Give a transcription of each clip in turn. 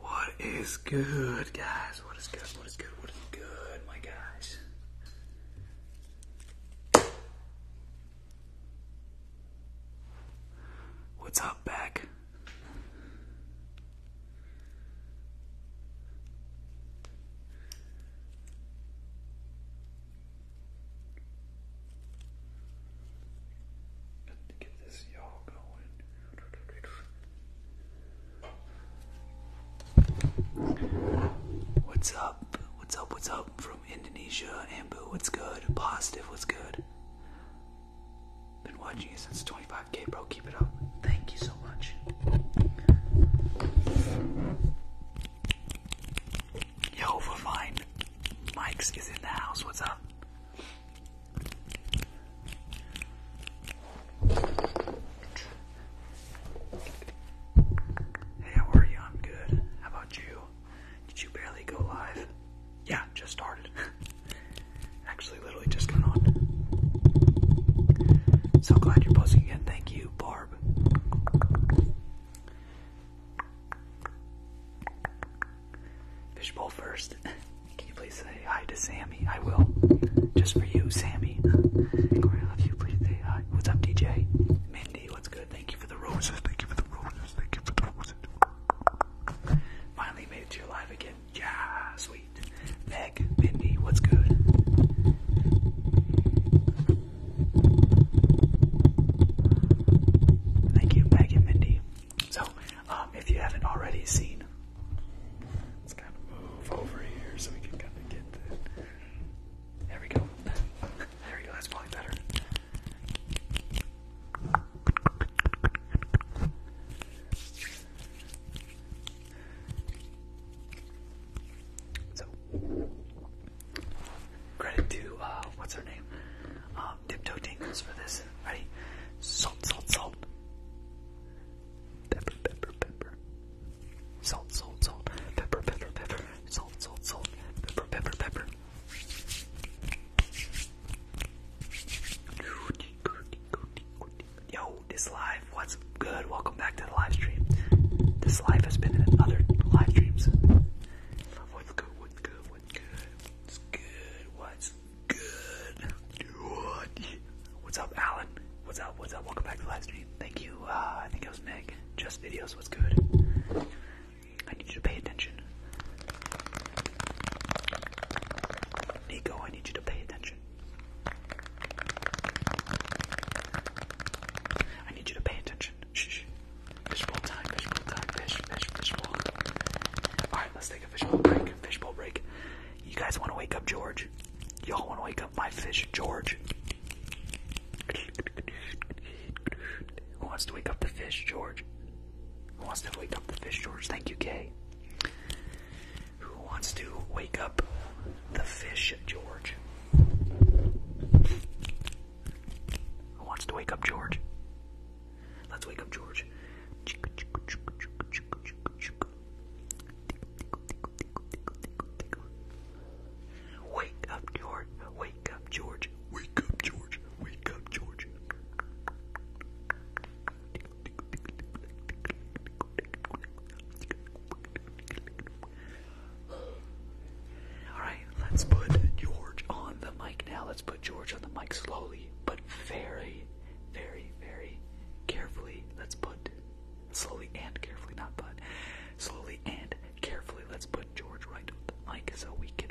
What is good, guys? What is good? What is good? What is good, my guys? What's up, back? Got to get this y'all going. What's up? What's up? What's up from Indonesia? Ambu, what's good? Positive, what's good? Been watching you since 25k, bro. Keep it up. Thank you so much. Yo, Vine. Mike's is in the house. What's up? Hey, how are you? I'm good. How about you? Did you barely go live? Yeah, just started. Actually, literally just got on. So glad you're posting again. Thank you, Barb. Fishbowl first. Can you please say hi to Sammy? I will. Just for you, Sammy. Corey, I you. Please say hi. What's up, DJ? Mindy, what's good? Thank you for the roses. Thank you for the roses. Thank you for the roses. Finally made it to again. Yeah, sweet. Meg, Mindy, what's good? Thank you, Meg and Mindy. So, um, if you haven't already seen, let's kind of move over here so we can kind of get the. There we go. there we go. That's probably better. So, credit to, uh, what's her name? Um, Tiptoe Tingles for this. Ready? Salt, salt, salt. Pepper, pepper, pepper. Salt, salt, salt. Pepper, pepper, pepper. Salt, salt, salt. Pepper, pepper, pepper. Yo, this live, what's good? Welcome back to the live stream. This live has been in other live streams. What's good? What's good? What's good? What's good? What's good? What's up, Alan? What's up? What's up? Welcome back to the live stream. Thank you. Uh, I think it was Meg. Just videos. What's good? I need you to pay attention. Nico, I need you to pay attention. I need you to pay attention. Shh. Fishbowl time, fishbowl time, fish, fish, fishbowl. Alright, let's take a fishbowl break. Fishbowl break. You guys want to wake up George? Y'all want to wake up my fish, George? Who wants to wake up the fish, George? Who wants to wake up the fish, George? Thank you, Kay. Who wants to wake up the fish, George? Who wants to wake up George? Let's wake up George. Wake up, George. Wake up, George. Wake up, George. Wake up, George. Alright, let's put George on the mic now. Let's put George on the mic slowly, but very, very, very carefully. Let's put slowly and carefully, not but slowly and carefully. Let's put George right on the mic so we can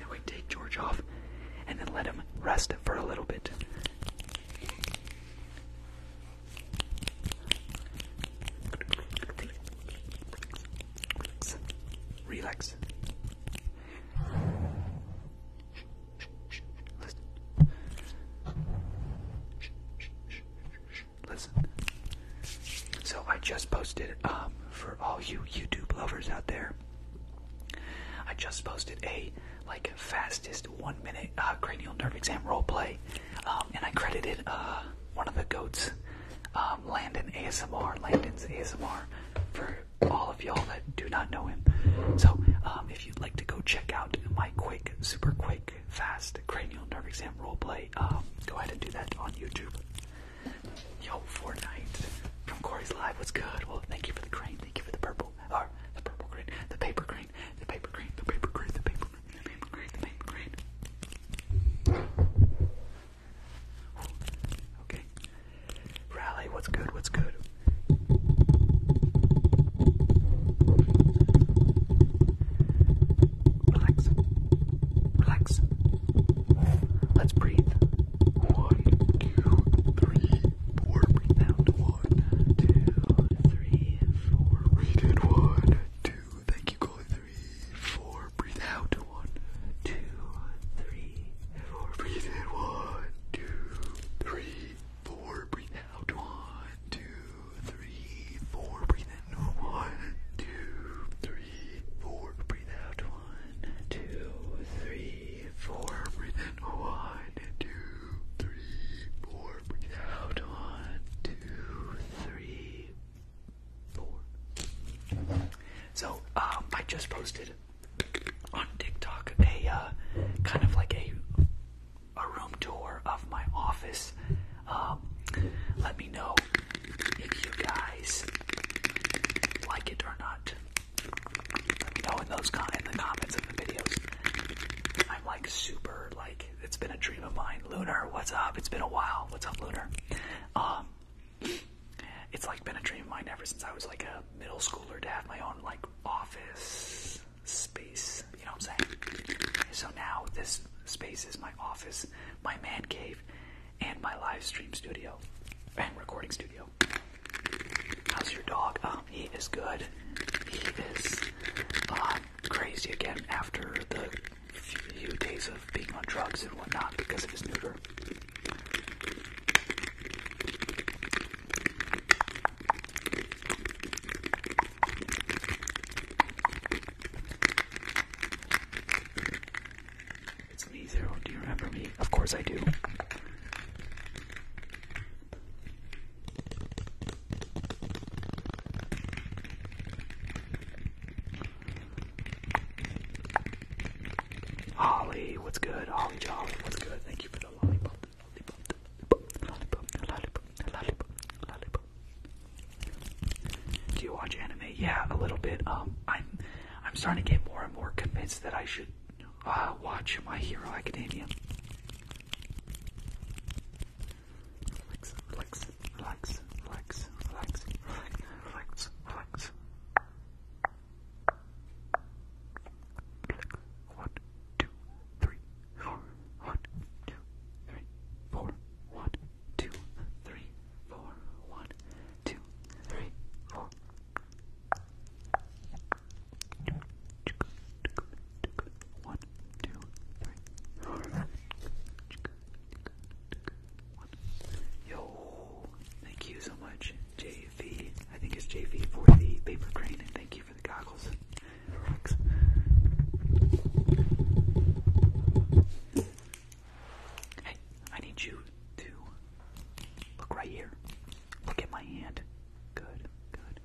And we take George off and then let him rest for a little bit. Relax. Listen. Listen. So I just posted um for all you YouTube lovers out there. I just posted a like fastest one minute uh, cranial nerve exam role play um, and I credited uh, one of the goats, um, Landon ASMR, Landon's ASMR, for all of y'all that do not know him. So um, if you'd like to go check out my quick, super quick, fast cranial nerve exam roleplay, um, go ahead and do that on YouTube. Yo, Fortnite from Corey's Live, what's good? Well, thank you for the crane, thank you for the purple, or the purple green, the paper green, the paper green, the paper green, the paper green. Okay. Rally, what's good? What's good? Relax. Relax. Let's breathe. One, two, three, four. Breathe out. One, two, three, four. We did one, two, Thank you, Three, four. Breathe out. One, two, three, four. Breathe in. One, two, three, four. Breathe out. One, two, three, four. Breathe in. One, two, three, four. Breathe out. One, two, three, four. Breathe in. One, two, three, four one, two, three, four. So um, I just posted on TikTok a uh, kind of like a a room tour of my office. Um, let me know if you guys like it or not. Let me know in those in the comments of the videos. I'm like super like it's been a dream of mine. Lunar, what's up? It's been a while. What's up, Lunar? Um, it's like been a dream of mine ever since I was like a middle schooler to have my own like office space. You know what I'm saying? So now this space is my office, my man cave, and my live stream studio and recording studio. How's your dog? Um, he is good. He is um, crazy again after the few days of being on drugs and whatnot because of his neuter. It's me, Zero. Do you remember me? Of course I do. Holly, what's good? Holly Jolly, what's good? Thank you for the lollipop, lollipop, lollipop, lollipop, lollipop, lollipop. Do you watch anime? Yeah, a little bit. Um, I'm, I'm starting to get more and more convinced that I should uh, watch My Hero Academia. Relax, relax, relax, relax, relax, relax, relax. One, two, three, four. One, two, three, four. One, two, three, four. One, two, three, four. One, two, three, four. Yo, thank you so much, JV. I think it's JV for the paper crane, and thank you for the goggles. Thanks. Hey, I need you to look right here. Look at my hand. Good, good,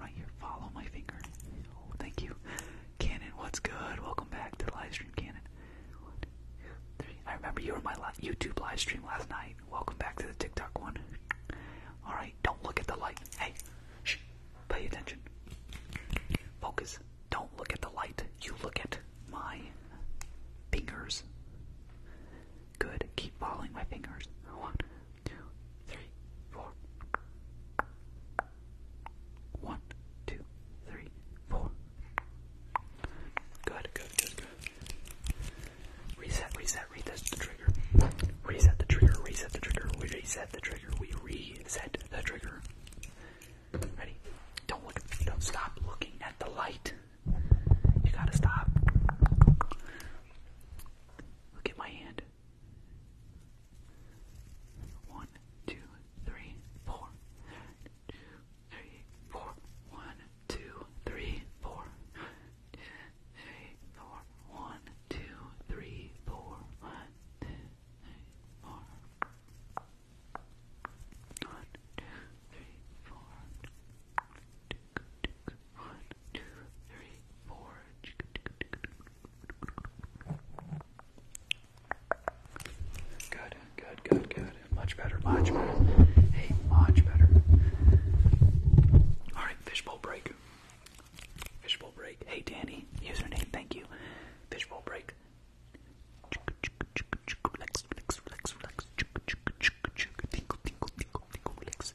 Right here. Follow my finger. Oh, thank you. Cannon, what's good? Welcome back to the live Cannon. I remember you were my YouTube live last night. Welcome back to the TikTok one. Alright, don't look at the light. Hey, pay attention. Focus. Don't look at the light. You look at my fingers. Good. Keep following my fingers. One, two, three, four. One, two, three, four. Good, good, good, good. Reset, reset, reset the trigger. Reset the trigger, reset the trigger, we reset the trigger, we reset the trigger. Ready? Don't look, don't stop looking at the light. You gotta stop. Look at my hand. One, two, three, four. Two, three, four. One, two, three, four. Two, three, four. One, two, three, four. One, two, three, four. One, two, three, four. One, two, three, four. Good, good, good, good. Much better, much better. Hey, much better. Alright, fishbowl break. Fishbowl break. Hey, Danny. Username, thank you. Fishbowl break. Relax, relax, relax, relax. Tinkle, tinkle, tinkle, tinkle, relax.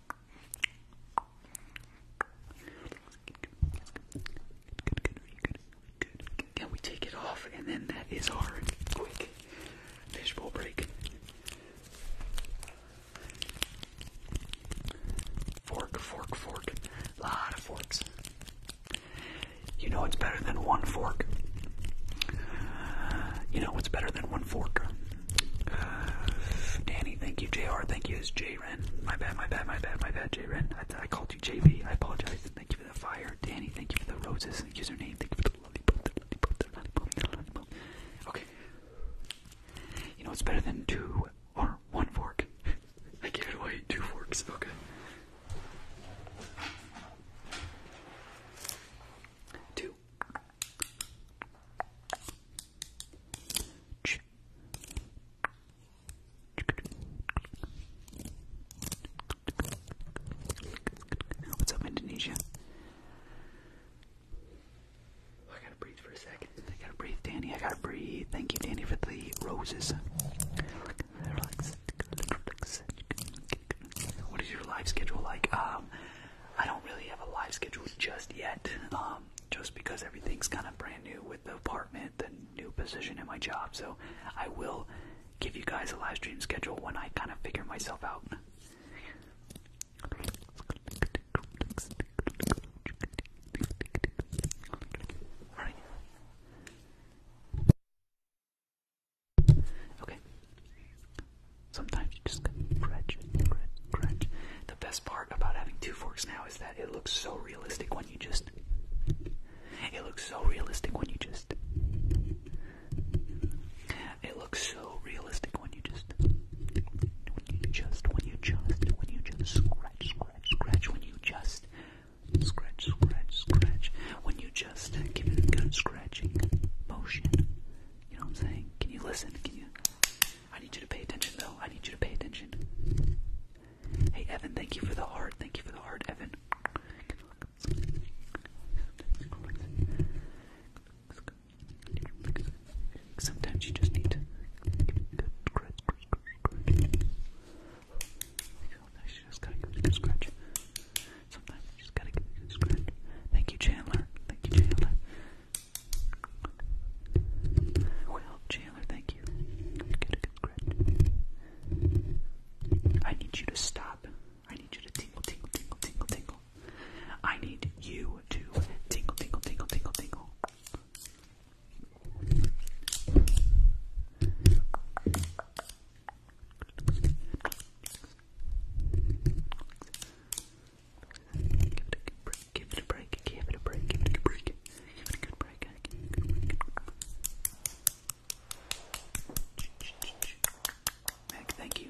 Can we take it off? And then that is our quick fishbowl break. Fork, fork, fork. Lot of forks. You know it's better than one fork. You know it's better than one fork? Danny, thank you. JR, thank you. It's J Ren. My bad, my bad, my bad, my bad, J Ren. I, I called you JB. I apologize. Thank you for the fire. Danny, thank you for the roses. Username, thank you for the lollipop, the Okay. You know, it's better than two or one fork. I gave it away two forks. Okay. Two. What's up, Indonesia? Oh, I gotta breathe for a second. I gotta breathe, Danny. I gotta breathe. Thank you, Danny, for the roses. What is your live schedule like? Um, I don't really have a live schedule just yet, um, just because everything's kind of brand new with the apartment, the new position, in my job. So I will give you guys a live stream schedule when I kind of figure myself out. All right. Okay. Sometimes you just crunch, crunch, crunch. The best part about having two forks now is that it looks so realistic when you just. It looks so realistic when you just. It looks so realistic when you just. When you just, when you just, when you just scratch, scratch, scratch, when you just. Scratch, scratch, scratch. When you just give it a good scratching motion. You know what I'm saying? Can you listen? Can you I need you to pay attention, though. I need you to pay attention. Hey, Evan, thank you for the heart. Thank you for the heart, Evan. Sometimes you just need to scratch, Sometimes you just gotta get a good scratch. Sometimes you just gotta get a good scratch. Thank you, Chandler. Thank you, Chandler. Well, Chandler, thank you. I need you to stop. I need you to tingle, tingle, tingle, tingle, tingle. I need you to tingle, tingle, tingle, tingle, tingle. Give it a break, give it a break, give it a break, give it a break, give it a break. Mac, thank you.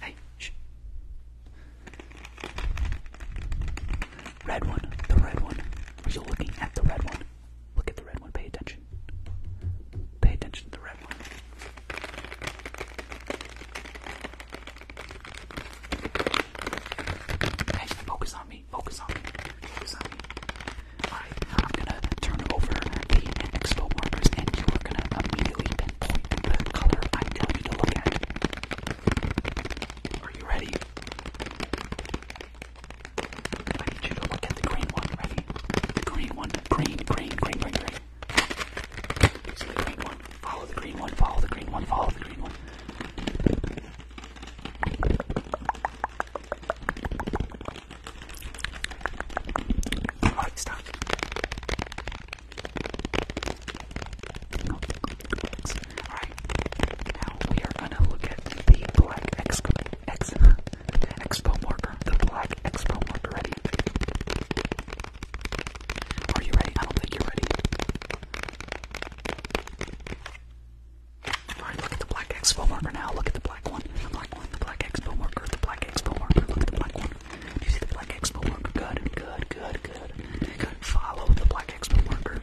Hey, Red one, the red one. Are you looking at the red one? Look at the red one, pay attention. Pay attention to the red one. Hey, focus on me, focus on me, focus on me. I'm gonna turn over the expo markers and you are gonna immediately pinpoint the color I'm telling you to look at. Are you ready? I need you to look at the green one, ready? The green one, green, green, green, green, green. the green one. Follow the green one, follow the green one, follow the green one. Alright, stop. Alright, now we are gonna look at the black expo, expo marker. The black expo marker. Ready? Are you ready? I don't think you're ready. Alright, look at the black expo marker now. Look at the black one, the black one, the black expo marker, the black expo marker, look at the black one. Do you see the black expo marker? Good, good, good, good. Good. Follow the black expo marker.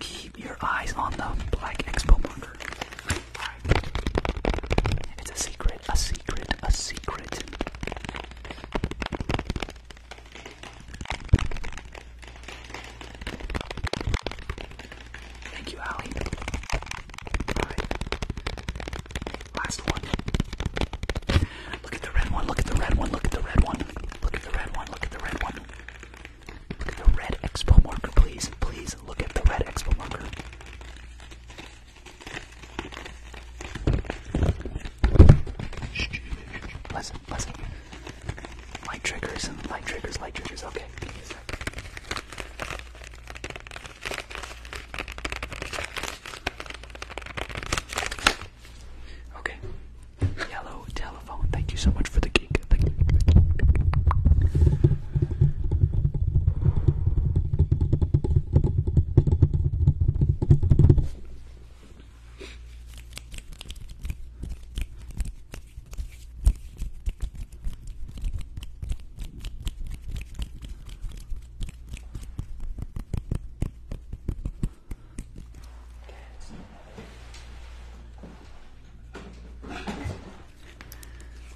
Keep your eyes on the black expo marker. Alright. It's a secret, a secret, a secret. Thank you, Allie. Last one. Look at the red one, look at the red one, look at the red one. Look at the red one, look at the red one. Look at the red expo marker, please. Please look at the red expo marker. Shh, shh, shh, shh light triggers and light triggers, light triggers. Okay, give Okay. Yellow telephone. Thank you so much for the geek.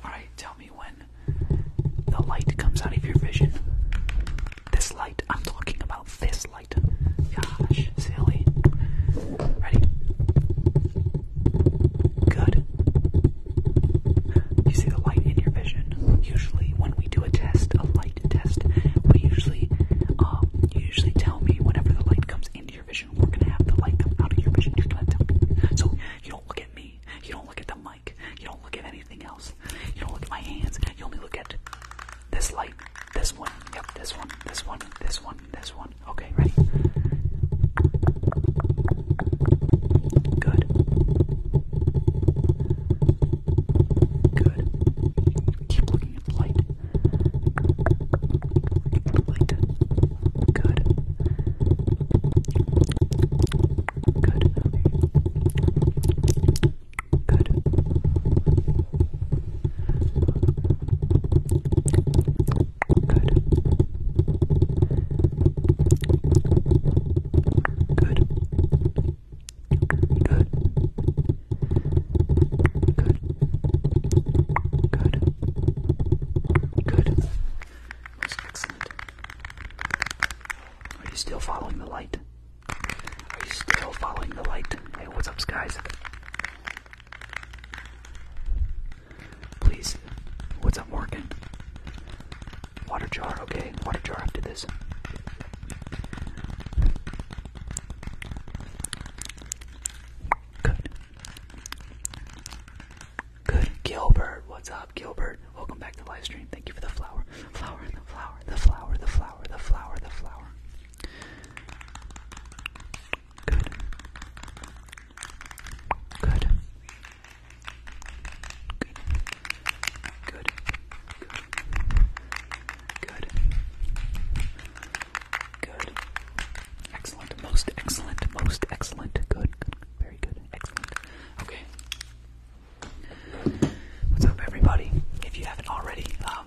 Alright, tell me when the light comes out of your vision. This light, I'm talking about this light light. Gosh, silly. Ready? Good. You see the light in your vision. Usually, when we do a test, a light test, we usually, um, usually tell me whenever the light comes into your vision, we're gonna have the light come out of your vision. You're gonna tell me. So you don't look at me. You don't look at the mic. You don't look at anything else. You don't look at my hands. You only look at this light this one. Yep, this one. This one. This one. This one. Okay, ready. Good. Good. Keep looking at the light. Light. Good. Good. Good. Good. Good. Good. Good. Good. That's excellent. Are you still following the light? Are you still following the light? Hey, what's up, skies? Please. What's up, Morgan? Water jar, okay. Water jar after this. Good. Good. Gilbert, what's up, Gilbert? Welcome back to the live stream. Thank you for the flower. Flower, the flower, the flower, the flower, the flower, the flower. Good. Good. Good. Good. Good. Good. Excellent. Most excellent. Most excellent. Good. Very good. Excellent. Okay. What's up, everybody? If you haven't already, um,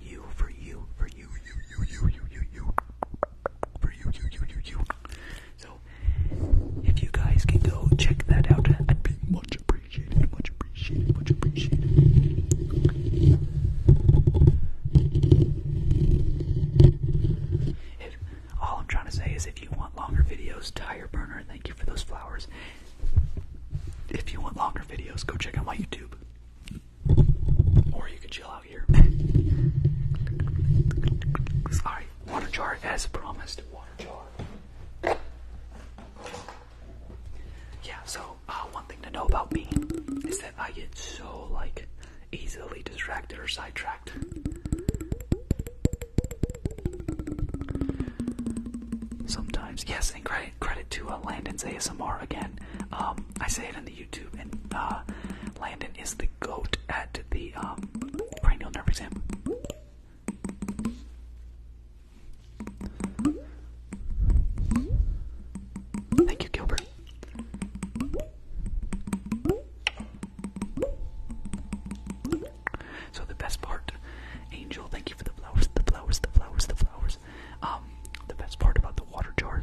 you, for you, for you, you, you, you, you, you, for you, you, you, you, you. So, if you guys can go check that out, I'd be much appreciated, much appreciated, much appreciated. If, all I'm trying to say is if you want longer videos, Tire Burner, and thank you for those flowers. If you want longer videos, go check out my YouTube. Or you can chill out here. Alright, water jar as promised. Water jar. Yeah, so uh, one thing to know about me is that I get so, like, easily distracted or sidetracked. Sometimes, yes, and credit credit to uh, Landon's ASMR again. Um, I say it in the YouTube, and uh, Landon is the goat at the um, cranial nerve exam. Thank you, Gilbert. So the best part, Angel. Thank you for the flowers, the flowers, the flowers, the flowers. Um, the best part about the water jar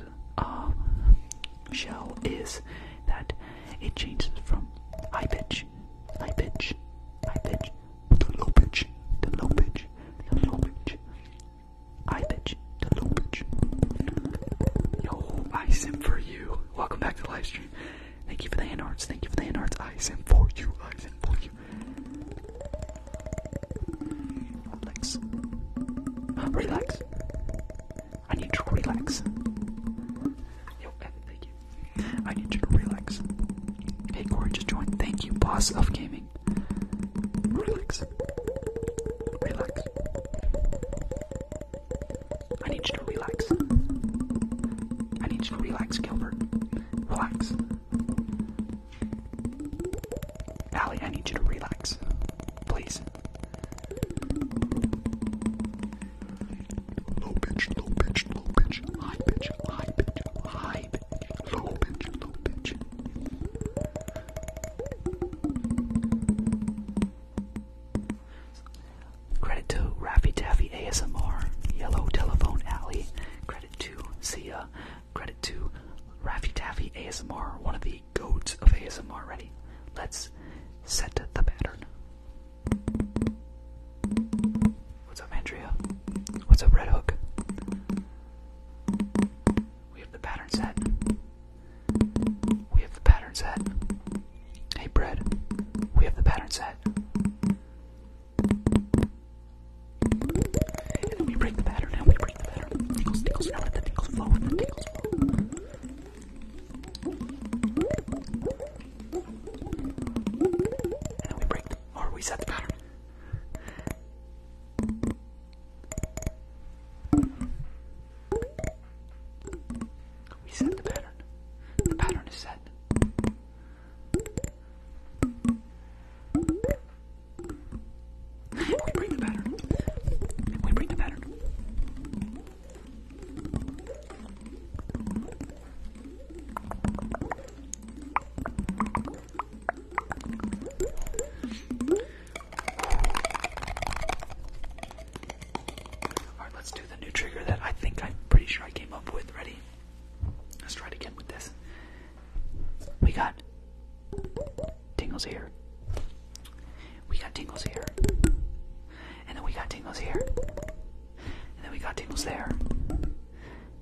shell uh, is that it changes from high pitch, high pitch, high pitch, to low pitch, to low pitch, to low pitch, high pitch, to low pitch. Yo, I sim for you. Welcome back to live stream. Thank you for the hand arts. Thank you for the hand arts. I sim for you. I sim for you. Relax. Relax. I need to relax. Yo, thank you. I need you to relax. Hey, Corey just joined. Thank you, boss of gaming. Relax. Relax. I need you to relax. I need you to relax, Gilbert. Relax. Allie, I need you to relax. Please. Low pitch, low pitch, low pitch, high pitch, high pitch, high pitch, low pitch, low pitch. Credit to Raffy Taffy ASMR, Yellow Telephone Alley. Credit to Sia, Credit to Raffy Taffy ASMR, one of the goats of ASMR. Ready? Let's set the pattern. What's up, Andrea? What's up, Red Hook? We have the pattern set. We have the pattern set. Hey, Bread. We have the pattern set. And we break the pattern and we pretty the better. Tickles, tickles, now let the tickles flow, let the tickles flow. And then we break them, or we set the pattern. We set the pattern. The pattern is set. We break the pattern. We break the pattern. Alright, let's do the new trigger that I think I'm pretty sure I came up with. Ready? Let's try it again with this. We got Tingles here. We got tingles here. And then we got tingles here. And then we got tingles there.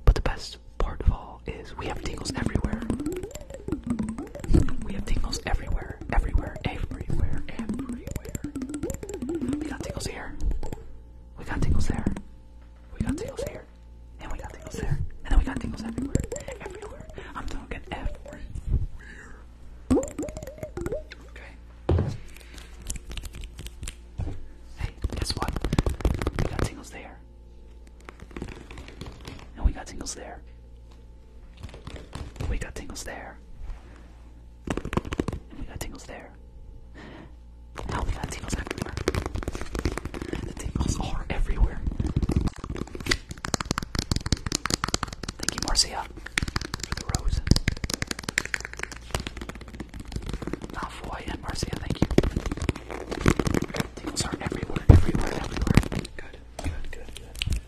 But the best part of all is we have tingles everywhere. We have tingles everywhere, everywhere, everywhere, everywhere. We got tingles here. We got tingles there. We got tingles here. And we got tingles there. And then we got tingles everywhere. Everywhere everywhere. I'm talking everywhere. Okay. Hey, guess what? We got singles there. And we got tingles there. We got tingles there. And we got tingles there. Now we got tingles everywhere. The tingles are everywhere. Thank you, Marcia, for the rose. Malfoy and Marcia, thank you. Tingles are everywhere, everywhere, everywhere. Good, good, good, good.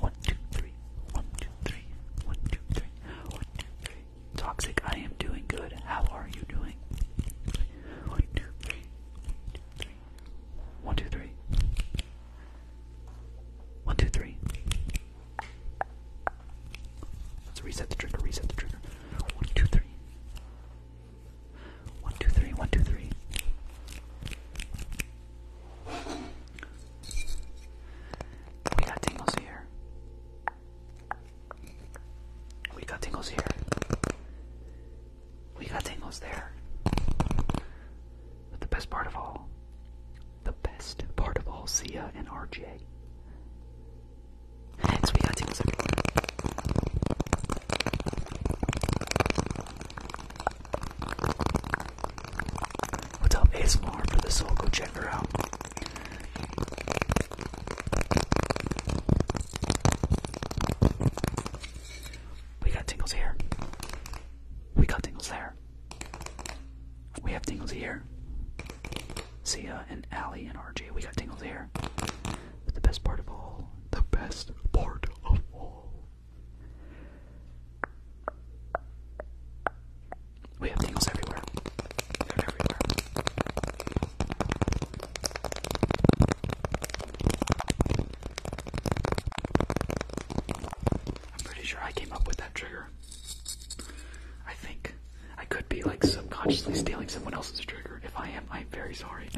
One, two, three. One, two, three. One, two, three. One, two, three. One, two, three. Toxic, I am doing good. How are you doing? One, two, three. One, two, three. One, two, three. Let's reset the trigger, reset the trigger. One, two, three. One, two, three, one, two, three. We got Tingles here. We got tingles here. We got tingles there. But the best part of all, the best part of all, Sia and RJ. Next, we got tingles everywhere. What's up, ASMR for the soul? Go check her out. We got tingles here. We got tingles there. We have tingles here. Sia and Allie and RJ, we got tingles here. the best part of all, the best part of all. We have things everywhere. They're everywhere. I'm pretty sure I came up with that trigger. I think I could be like subconsciously stealing someone else's trigger. If I am, I'm very sorry.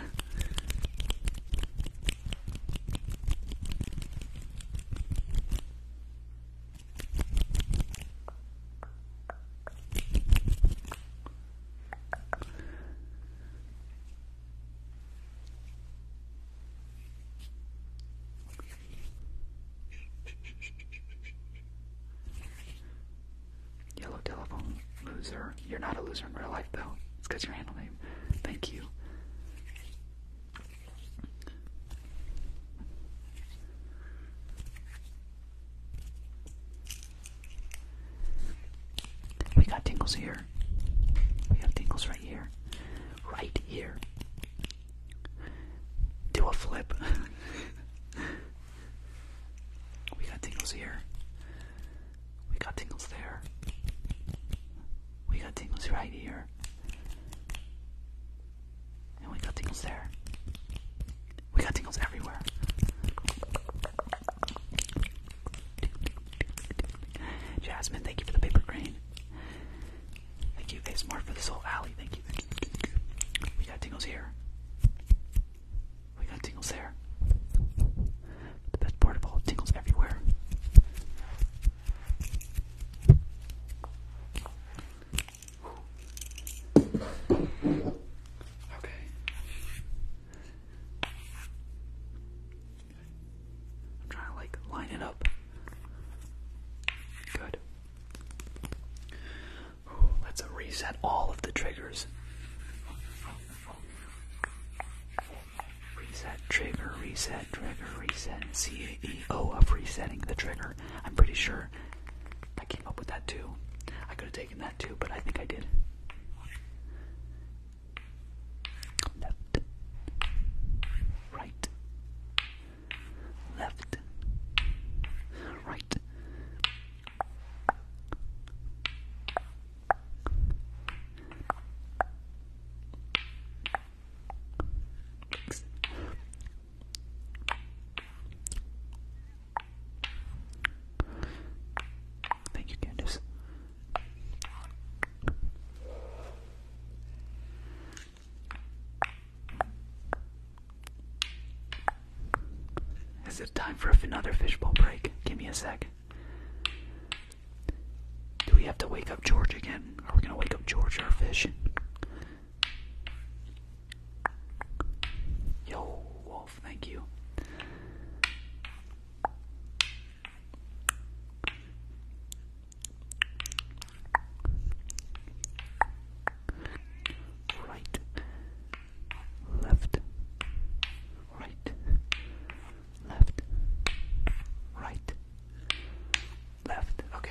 Yellow telephone loser. You're not a loser in real life though. It's because your handle name. Thank you. We got tingles here. We have tingles right here. Right here. Do a flip. we got tingles here. We got tingles there. We got tingles right here we got tingles there. We got tingles everywhere. Jasmine, thank you for the paper crane. Thank you, ASMR, for this whole alley. thank you. We got tingles here. We got tingles there. The best part of all, tingles everywhere. Okay. I'm trying to like line it up. Good. Let's reset all of the triggers. Reset trigger, reset trigger, reset. C A E O of resetting the trigger. I'm pretty sure I came up with that too. I could have taken that too, but I think I did. Left, right, left, right. Thank you, Candice. Is it time for another fishbowl break? Give me a sec. Do we have to wake up George again? Are we gonna wake up George, our fish? Yo, Wolf, thank you. Right, left, right, left, right, left. Okay.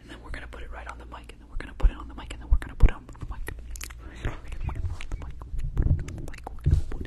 And then we're gonna put it right on the mic, and then we're gonna put it on the mic, and then we're gonna put it on the mic. We're gonna put it on the mic. We're gonna put it on the mic.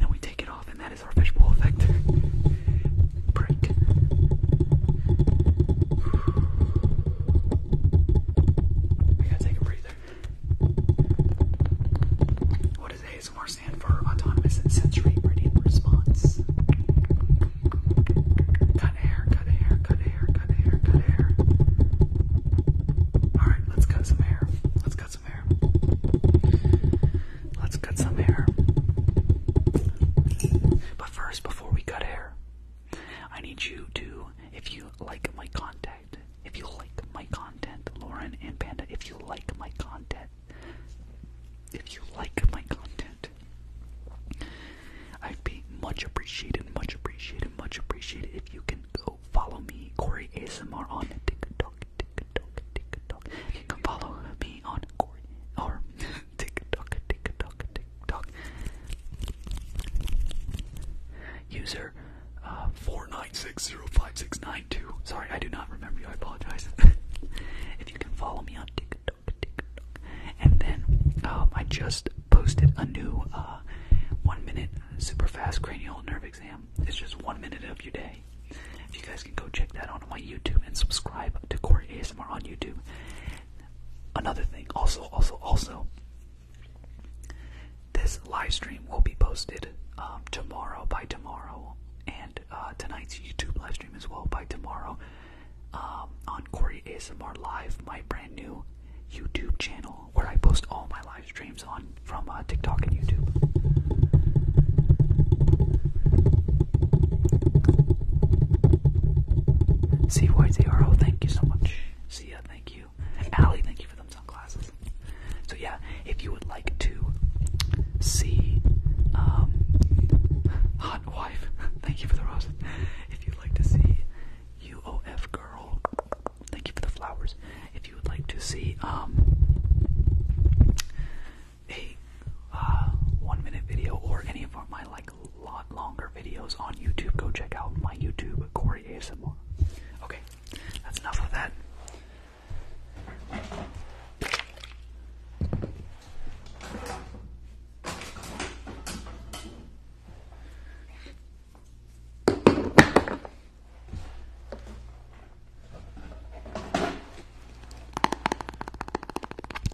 and we take it off, and that is our fishbowl effect. Break. I gotta take a breather. What does ASMR stand for? Autonomous sensory gradient response. Cut hair, cut hair, cut hair, cut hair, cut hair. Alright, let's cut some hair. Let's cut Let's cut some hair. But first, before we cut hair, I need you to, if you like my content, if you like my content, Lauren and Panda, if you like my content, if you like my content, I'd be much appreciated, much appreciated, much appreciated if you can go follow me, Corey ASMR, on TikTok. TikTok, TikTok, TikTok. You can follow me on Corey or TikTok, TikTok, TikTok. User uh, four nine six zero five six nine two. Sorry, I do not remember you. I apologize. if you can follow me on TikTok, TikTok, and then um, I just posted a new uh, one minute super fast cranial nerve exam. It's just one minute of your day. If you guys can go check that out on my YouTube and subscribe to Corey ASMR on YouTube. Another thing, also, also, also, this live stream will be posted um, tomorrow by tomorrow, and uh, tonight's YouTube live stream as well by tomorrow um, on Corey ASMR Live, my brand new YouTube channel where I post all my live streams on from uh, TikTok and YouTube. See thank you so much. Sia, thank you. Allie, thank you for them sunglasses. So yeah, if you would like to see um, Hot Wife, thank you for the rose. If you'd like to see UOF Girl, thank you for the flowers. If you would like to see um a uh, one minute video or any of my like lot longer videos on YouTube, go check out my YouTube Corey Asimov. Okay, that's enough of that.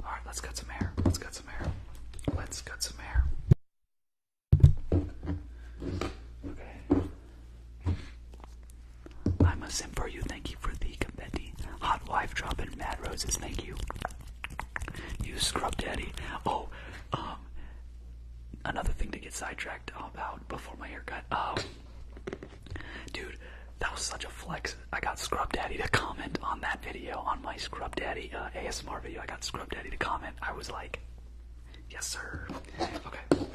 Alright, let's cut some hair. Let's cut some hair. Let's cut some hair. Okay. I'm a sim for you. Thank you for the confetti. Hot wife dropping mad roses. Thank you. You scrub daddy. Oh, um, another thing to get sidetracked about before my haircut. Um, Dude, that was such a flex. I got Scrub Daddy to comment on that video, on my Scrub Daddy uh, ASMR video. I got Scrub Daddy to comment. I was like, yes, sir. Okay.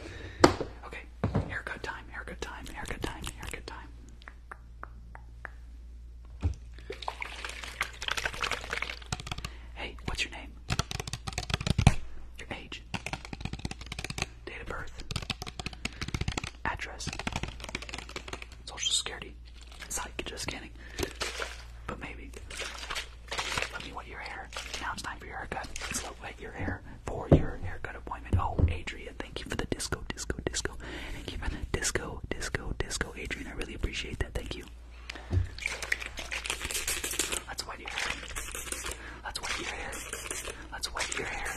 Okay. Haircut time, haircut time, haircut time, haircut time. Hey, what's your name? Your age date of birth, address, social security. Psych, just kidding. But maybe. Let me wet your hair. Now it's time for your haircut. So wet your hair for your haircut appointment. Oh, Adrian, thank you for the disco, disco, disco. Thank you for the disco, disco, disco. Adrian, I really appreciate that. Thank you. Let's wet your hair. Let's wet your hair. Let's wet your hair.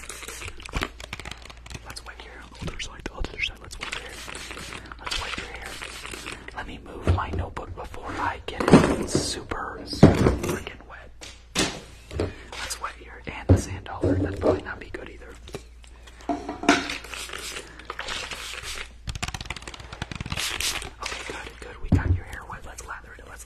Let's wet your other side, other side. Let's wet your hair. Let's wet your hair. Let me move my notebook before I get it super, super freaking wet. Let's wet your and the sand dollar. That'd probably not be good either. Okay, good, good. We got your hair wet. Let's lather it. Let's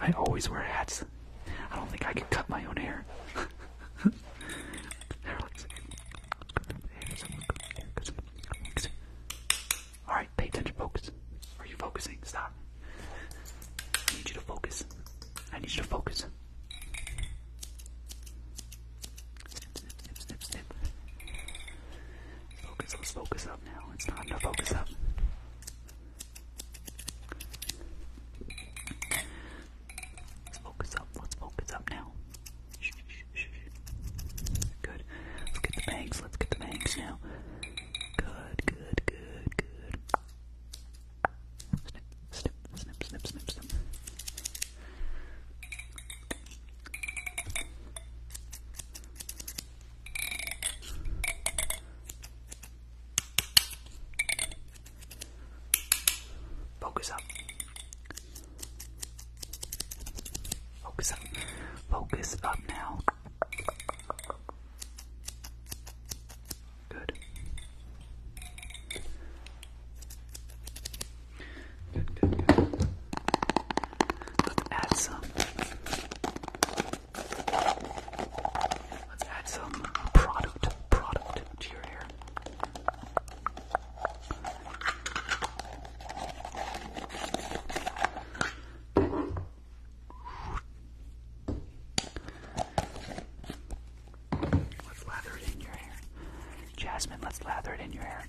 I always wear hats. I don't think I can cut my own hair. Alright, pay attention, focus. Are you focusing? Stop. I need you to focus. I need you to focus. Focus, let's focus up now. It's time to focus up. Let's focus up. Let's focus up now. Good. Let's get the bangs. Let's get the bangs now. Good, good, good, good. Snip, snip, snip, snip, snip, snip. Focus up. Focus up. Focus up now. Good. Good, good, add some Let's add some product, product to your hair. Let's lather it in your hair. Jasmine, let's lather it in your hair.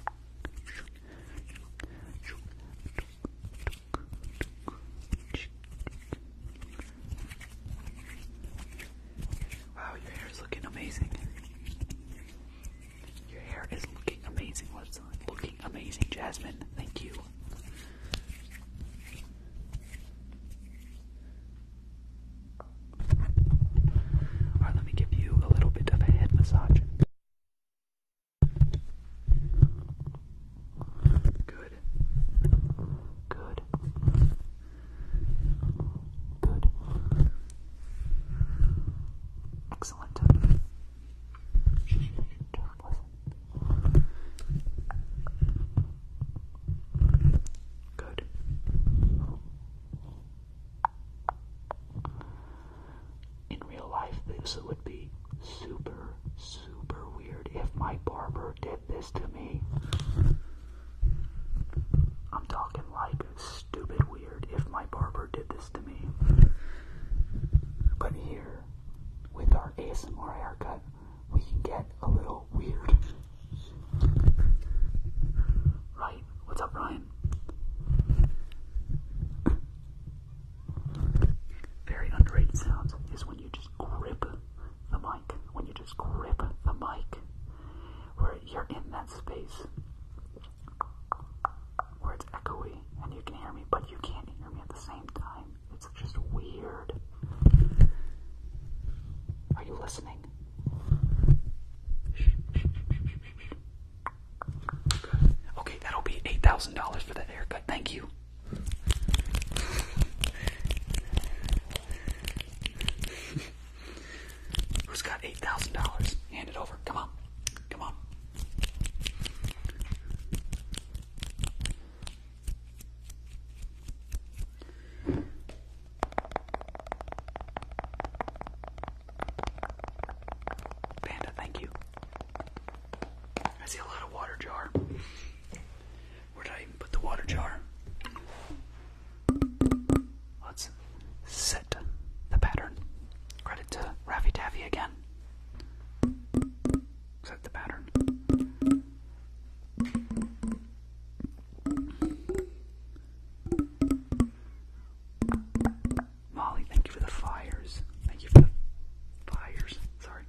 Wow, your hair is looking amazing. Your hair is looking amazing. What's looking amazing, Jasmine? Thank you. Alright, let me give you a little bit of a head massage. Good. Good. Good. Excellent. Don't Good in real life, this would be super, super weird if my barber did this to me. I'm talking like stupid weird if my barber did this to me. But here, with our ASMR haircut, we can get a little weird. Right? What's up, Ryan? Very underrated sound is when you just grip the mic, when you just grip the mic, where you're in that space where it's echoey and you can hear me, but you can't hear me at the same time. It's just weird. Are you listening? Okay, that'll be $8,000 for that haircut. Thank you. Who's got eight thousand dollars? Hand it over. Come on. Come on. Panda, thank you. I see a lot of water jar. Where did I put the water jar? Let's set the pattern. Credit to Ravi Tavi again. Set the pattern. Molly, thank you for the fires. Thank you for the fires. Sorry.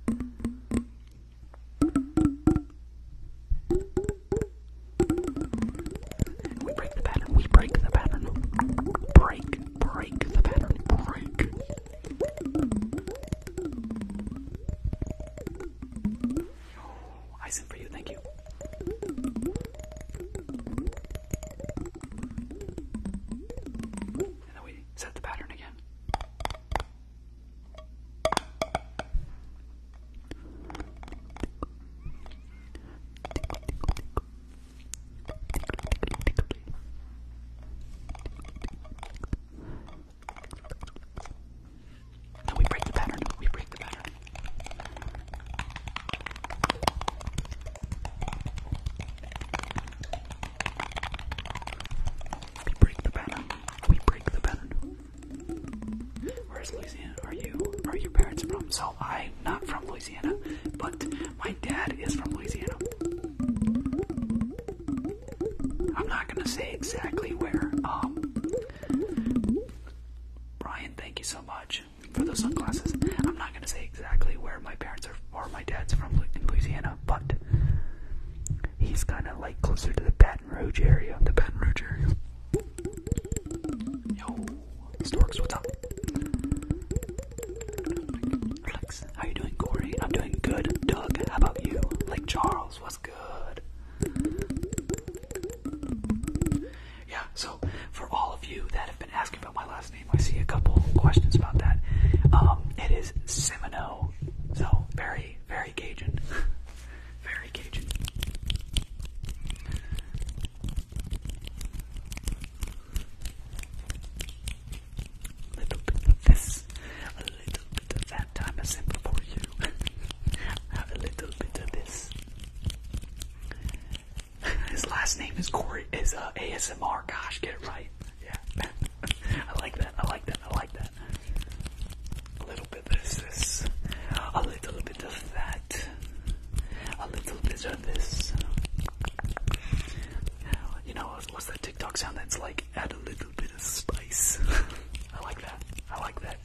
We break the pattern. We break the pattern. Break, break the pattern. Break. I sent for you. Thank you. And then we Wait, is that the pattern again? No, we break the pattern. We break the pattern. We break the pattern. We break the pattern. Where's Louisiana? Are you? Are your parents from? So I'm not from Louisiana, but my dad is from Louisiana. I'm not gonna say exactly where. Um, Brian, thank you so much for those sunglasses. I'm not gonna say exactly where my parents are or my dad's from Louisiana, but he's kind of like closer to the Baton Rouge area. The Baton Rouge area. Yo, Storks, what's up? Alex, how you doing, Corey? I'm doing good. Doug, how about you? Like Charles, what's good? Yeah, so for all of you that have been asking about my last name. I see a couple questions about that. Um, it is Semino, so very, very Cajun. very Cajun. A little bit of this, a little bit of that time I sent for you. a little bit of this. His last name is Corey. Is uh, ASMR. Gosh, get it right. Yeah. I like that. I like that. I like that. A little bit this, this. A little bit of that. A little bit of this. You know, what's that TikTok sound that's like, add a little bit of spice? I like that. I like that.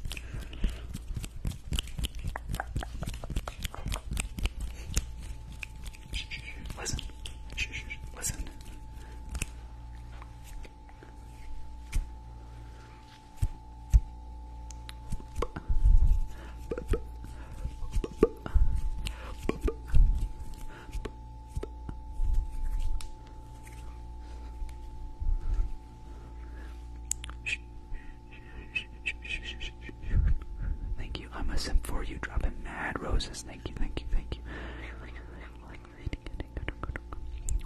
Listen. Listen. Thank you. I'm a simp for you. Dropping mad roses. Thank you, thank you, thank you.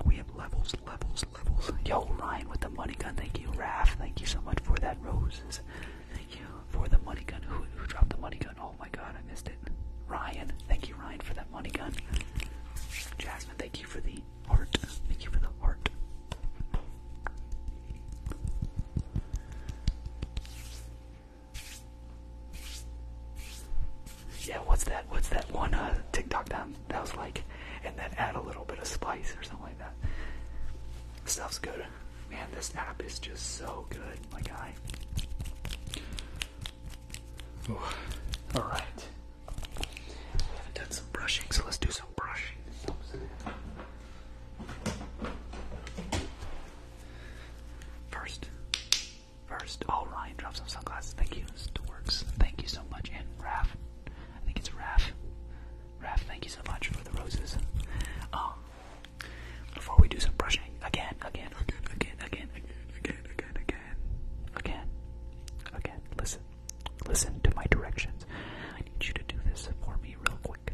We have levels, levels, levels. Yo, Ryan with the money gun. Thank you, Raph. Thank you so much for that, Roses. Thank you for the money gun. Who, dropped the money gun? Oh my god, I missed it. Ryan, thank you, Ryan, for that money gun. Jasmine, thank you for the heart. Thank you for the heart. Yeah, what's that? What's that one uh, TikTok that that was like, and then add a little bit of spice or something like that. Stuff's good, man. This app is just so good, my guy. All right. We haven't done some brushing, so let's do some brushing. First, first, oh Ryan, drops some sunglasses. Thank you, Storks. Thank you so much. And Raph, I think it's Raph. Raph, thank you so much for the roses. before we do some brushing, again, again, again, again, again, again, again, again, again, again. Listen, listen to my directions. I need you to do this for me real quick.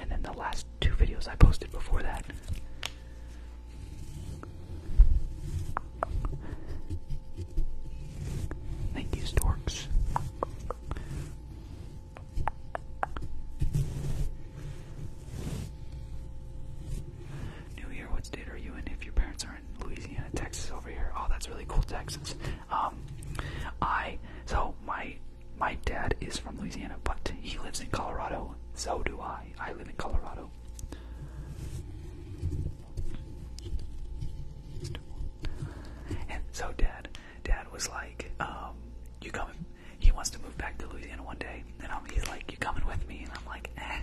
and then the last two videos I posted before that. Thank you, Storks. New Year, what state are you in? If your parents are in Louisiana, Texas, over here, oh, that's really cool, Texas. Um, I so my my dad is from Louisiana, but he lives in Colorado. So do I. I live in Colorado. And so dad, dad was like, um, you coming? He wants to move back to Louisiana one day, and I'm, he's like, you coming with me? And I'm like, eh.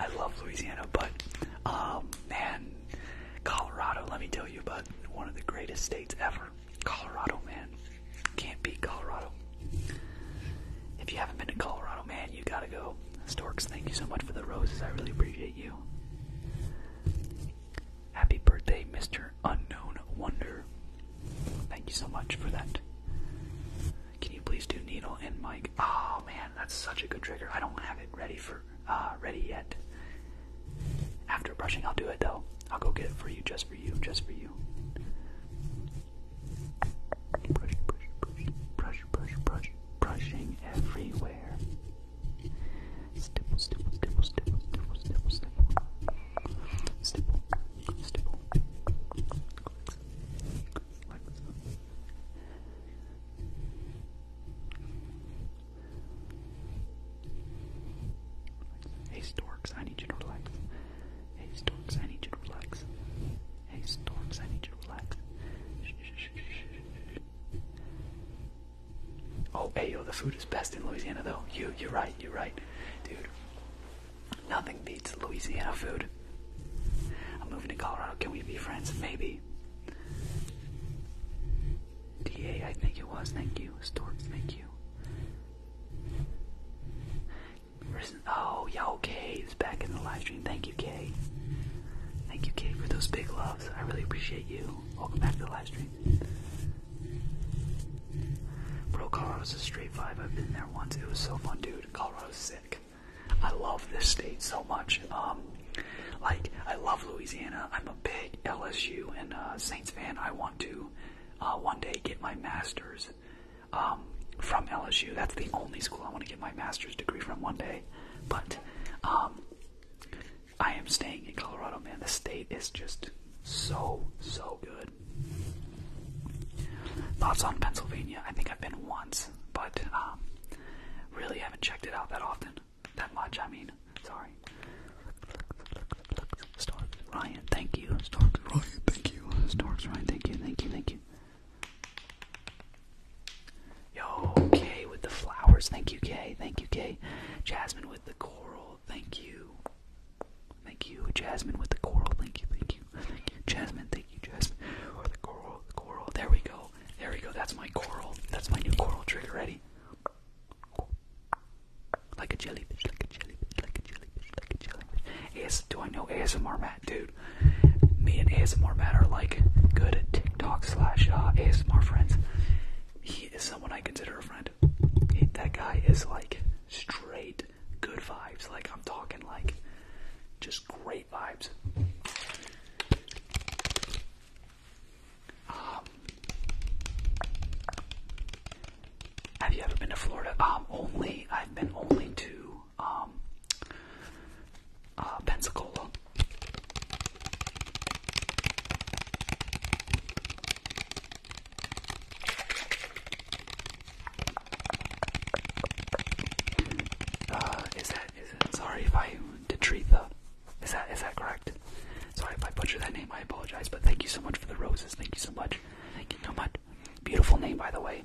I love Louisiana, but um, man, Colorado. Let me tell you about one of the greatest states ever. Colorado, man. Can't beat Colorado. If you haven't been to Colorado, man, you gotta go. Storks, thank you so much for the roses. I really appreciate you. Happy birthday, Mr. Unknown Wonder. Thank you so much for that. Can you please do needle and Mike? Oh man, that's such a good trigger. I don't have it ready for uh, ready yet. After brushing, I'll do it though. I'll go get it for you, just for you, just for you. Brush, brush, brush, brush, brush, brush, brushing everywhere. Stipple, stipple, stipple, stipple, stipple, stipple, stipple. Stipple, stipple. Hey Storks, I need you to relax. Hey Storks, I need you to relax. Hey Storks, I need you to relax. Oh, hey yo, the food is best in Louisiana though. You, you're right, you're right. Dude, nothing beats Louisiana food. I'm moving to Colorado. Can we be friends? Maybe. DA, I think it was. Thank you. Storks, thank you. Oh, yeah, okay. is back in the live stream. Thank you, Kay. Thank you, Kay, for those big loves. I really appreciate you. Welcome back to the live stream. Bro, Colorado's a straight five. I've been there once. It was so fun, dude. Colorado's sick. I love this state so much. Um, like, I love Louisiana am a big LSU and uh, Saints fan. I want to uh, one day get my master's um, from LSU. That's the only school I want to get my master's degree from one day. But um, I am staying in Colorado, man. The state is just so, so good. Thoughts on Pennsylvania? I think I've been once, but um, really haven't checked it out that often that much, I mean. Sorry. Starks Ryan, thank you. Starks Ryan, thank you. Starks Ryan, thank you, thank you, thank you. Yo, Kay with the flowers. Thank you, Kay. Thank you, Kay. Jasmine with the coral. Thank you. Thank you. Jasmine with the coral. Thank you, thank you. Thank you. Jasmine, thank you, Jasmine. Or the coral, the coral. There we go. There we go. That's my coral. That's my new coral trigger. Ready? Like a jellyfish, like a jellyfish, like a jellyfish, like a jellyfish. AS do I know ASMR Matt? Dude, me and ASMR Matt are like good TikTok slash uh, ASMR friends. He is someone I consider a friend. that guy is like straight good vibes. Like I'm talking like just great vibes. Um, have you ever been to Florida? Um, only I've been only to um, uh, Pensacola. Uh, is that is it? Sorry if I detrita is that is that correct? Sorry if I butcher that name. I apologize, but thank you so much for the roses. Thank you so much. Thank you so much. Beautiful name, by the way.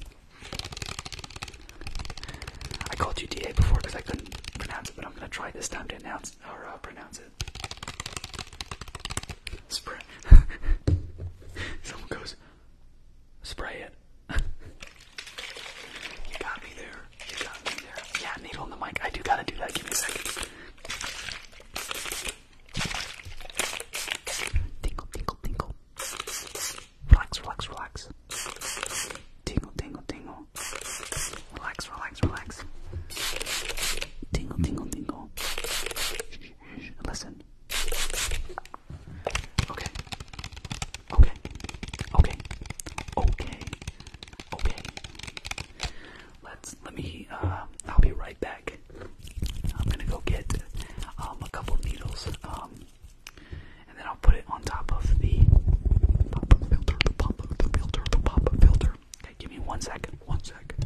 I called you DA before because I couldn't pronounce it, but I'm gonna try this time to announce or uh, pronounce it. Spray. Someone goes, spray it. you got me there. You got me there. Yeah, needle in the mic. I do gotta do that. Give me a second. Tingle, tingle, tingle. Relax, relax, relax. Tingle, tingle, tingle. Relax, relax, relax. Tingle, tingle, tingle. Listen. Okay. Okay. Okay. Okay. Okay. Let's let me. Uh, I'll be right back. I'm gonna go get um, a couple needles, um, and then I'll put it on top of the pop-up filter, the pop-up filter, the pop-up filter. Okay, give me one second. One second.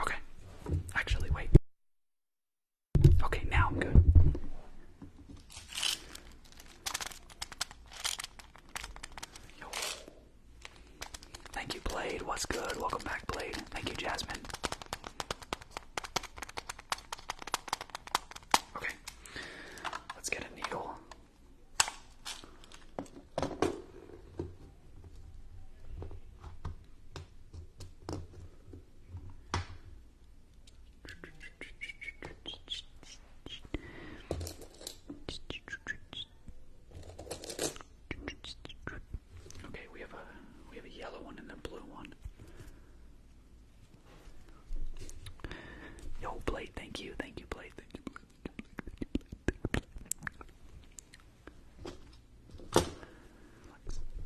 Okay. Actually, wait. Okay, now I'm good. Thank you, Blade. What's good? Welcome back, Blade. Thank you, Jasmine. Okay. Let's get a needle. Okay, we have a we have a yellow one and a blue one. Yo, Blade, thank you, thank you, Blade, thank you,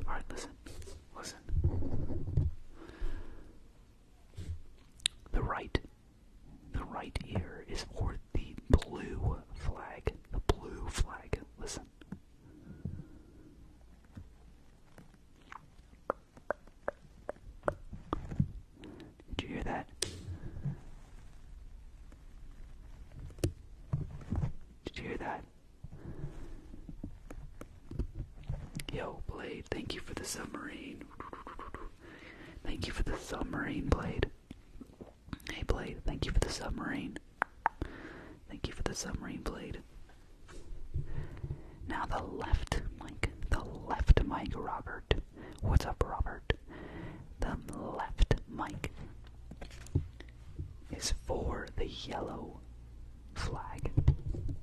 Alright, listen, listen. The right, the right ear is for the blue flag. The blue flag, listen. Did you hear that? Did you hear that? Yo, Blade, thank you for the submarine. Thank you for the submarine, Blade. Hey, Blade, thank you for the submarine. Thank you for the submarine, Blade. Now the left mic, the left mic, Robert. What's up, Robert? The left mic is for the yellow flag.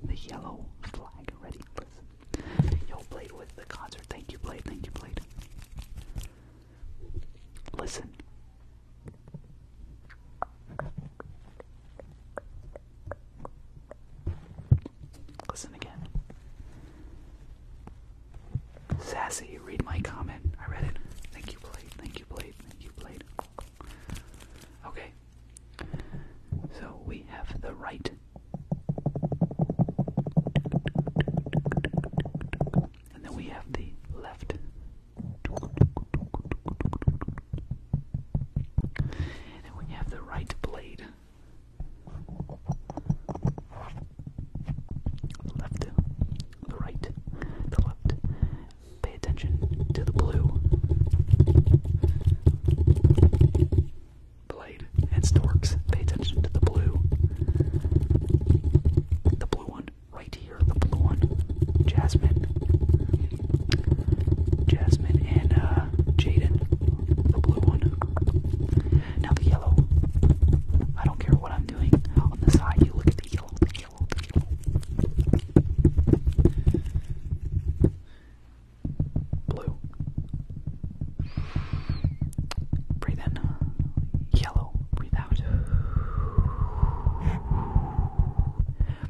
The yellow flag. Ready? Listen. Yo, Blade with the concert. Thank you, Blade. Thank you, Blade. Listen. Listen again. Sassy, read my comment. I read it. Thank you, Blade. Thank you, Blade. Thank you, Blade. Okay. So we have the right. And then we have the left. And then we have the right blade left, the right, the left. Pay attention to the blue blade and storks. Pay attention to the blue. The blue one right here, the blue one. Jasmine. Jasmine and uh Jaden, the blue one. Now the yellow. I don't care what I'm doing. On the side, you look at the yellow, yellow. Blue. Breathe in. Yellow. Breathe out.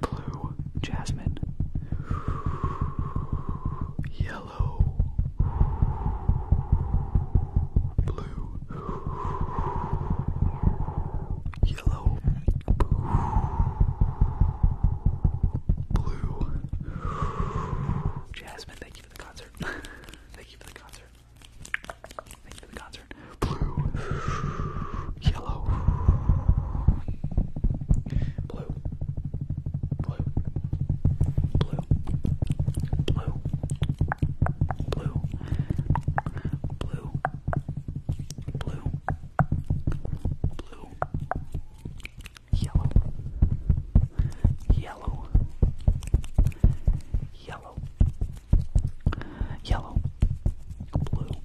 Blue. Jasmine. Yellow yellow, blue, yellow, blue. Jasmine, thank you for the concert. thank you for the concert. Thank you for the concert. Blue, yellow, blue, blue, blue, blue, blue, blue, blue, blue, yellow, yellow, yellow, yellow, blue,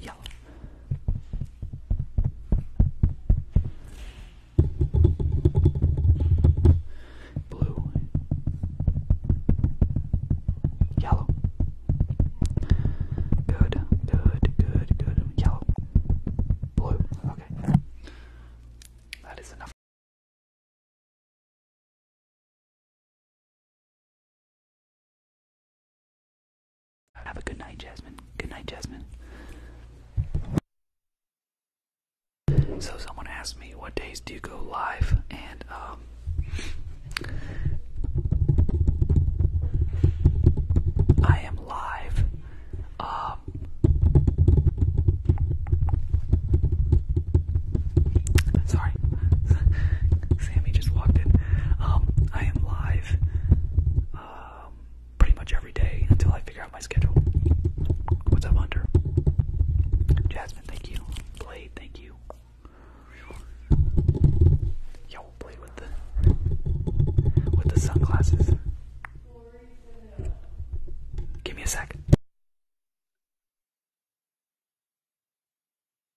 yellow. Blue, yellow, good, good, good, good, yellow, blue. Okay, that is enough. Have a good night, Jasmine. Good night, Jasmine. So someone asked me what days do you go live, and um, I am live. Um, sorry, Sammy just walked in. Um, I am live. Um, pretty much every day until I figure out my schedule. What's up, Hunter? Jasmine, thank you. Blade, thank you. Yo, Blade with the with the sunglasses. Give me a sec.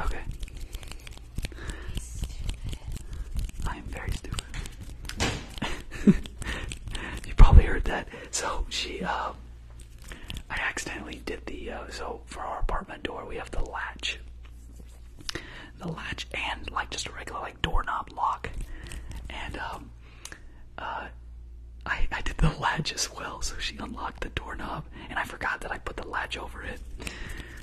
Okay. I am very stupid. you probably heard that. So she, uh, I accidentally did the, uh, so for our apartment door, we have the latch. The latch and like just a regular like doorknob lock. And, um, uh, I, I did the latch as well, so she unlocked the doorknob, and I forgot that I put the latch over it.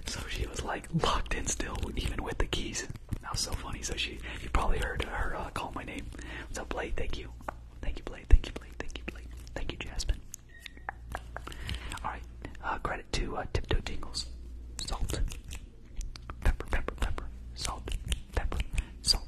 So she was like locked in still, even with the keys. That was so funny. So she, you probably heard her uh, call my name. So Blade, thank you, thank you, Blade, thank you, Blade, thank you, Blade, thank you, Jasmine. All right, uh, credit to uh, Tiptoe Tingles, salt, pepper, pepper, pepper, salt, pepper, salt,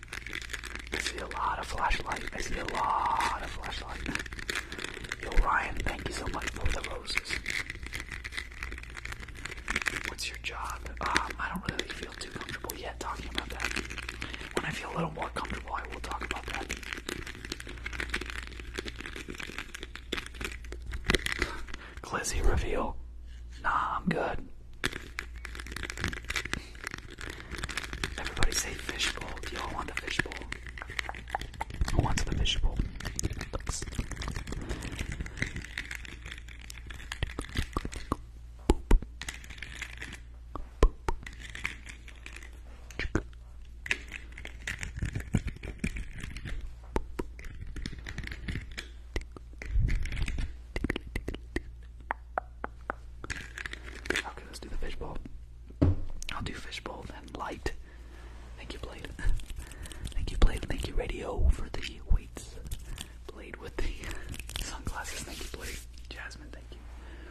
I see a lot of flashlight. I see a lot of flashlight. Yo, Ryan, thank you so much for the roses. What's your job? Um, I don't really feel too comfortable yet talking about that. When I feel a little more comfortable, I will talk about that. Glizzy reveal. Nah, I'm good. Everybody say fishbowl. Do you all want the fishbowl? Who wants the fishbowl? Okay, let's do the fishbowl. I'll do fishbowl and light. Thank you, Blade. Thank you, Blade. Thank you, Radio, for the weights. Blade with the sunglasses. Thank you, Blade. Jasmine, thank you.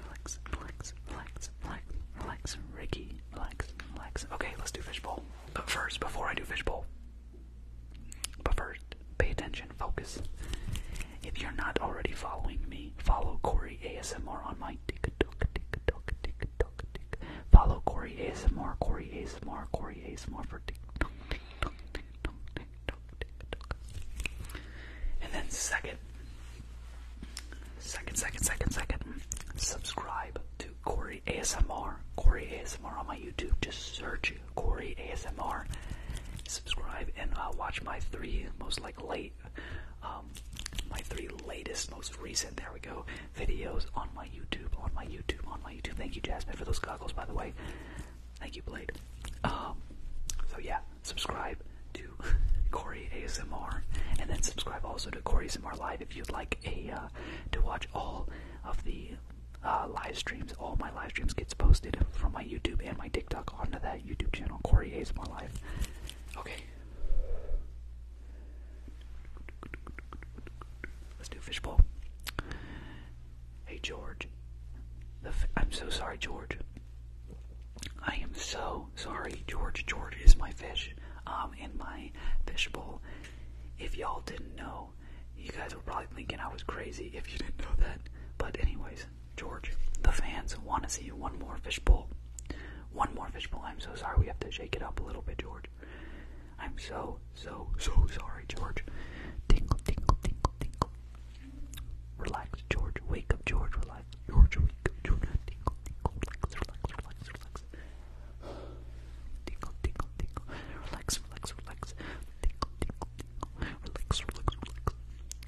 Relax, relax, relax, relax, relax. Ricky, relax, relax. Okay, let's do fishbowl. But first, before I do fishbowl, but first, pay attention, focus. If you're not already following me, follow Corey ASMR on my TikTok, TikTok, TikTok, TikTok. Follow Corey ASMR, Corey ASMR, Corey ASMR for TikTok, TikTok, TikTok, TikTok, TikTok. And then second, second, second, second, second, subscribe to Corey ASMR, Corey ASMR on my YouTube. Just search Corey ASMR, subscribe, and uh, watch my three most like late um, my three latest, most recent, there we go, videos on my YouTube, on my YouTube, on my YouTube. Thank you, Jasmine, for those goggles, by the way. Thank you, Blade. Um, so yeah, subscribe to Corey ASMR, and then subscribe also to Corey ASMR Live if you'd like a uh, to watch all of the uh, live streams. All my live streams gets posted from my YouTube and my TikTok onto that YouTube channel, Corey A's My Life. Okay. Let's do fishbowl. Hey, George. i I'm so sorry, George. I am so sorry, George. George is my fish um, in my fishbowl. If y'all didn't know, you guys were probably thinking I was crazy if you didn't know that. But anyways, George, the fans want to see one more fishbowl. One more fishbowl. I'm so sorry. We have to shake it up a little bit, George. I'm so, so, so sorry, George. Tingle, tingle, tingle, tingle. Relax, George. Wake up, George. Relax. George, wake up, George. Tingle, tingle, relax, relax, relax, relax. Tingle, tingle, tingle. Relax, relax, relax. Tingle, tingle, Relax, relax, relax.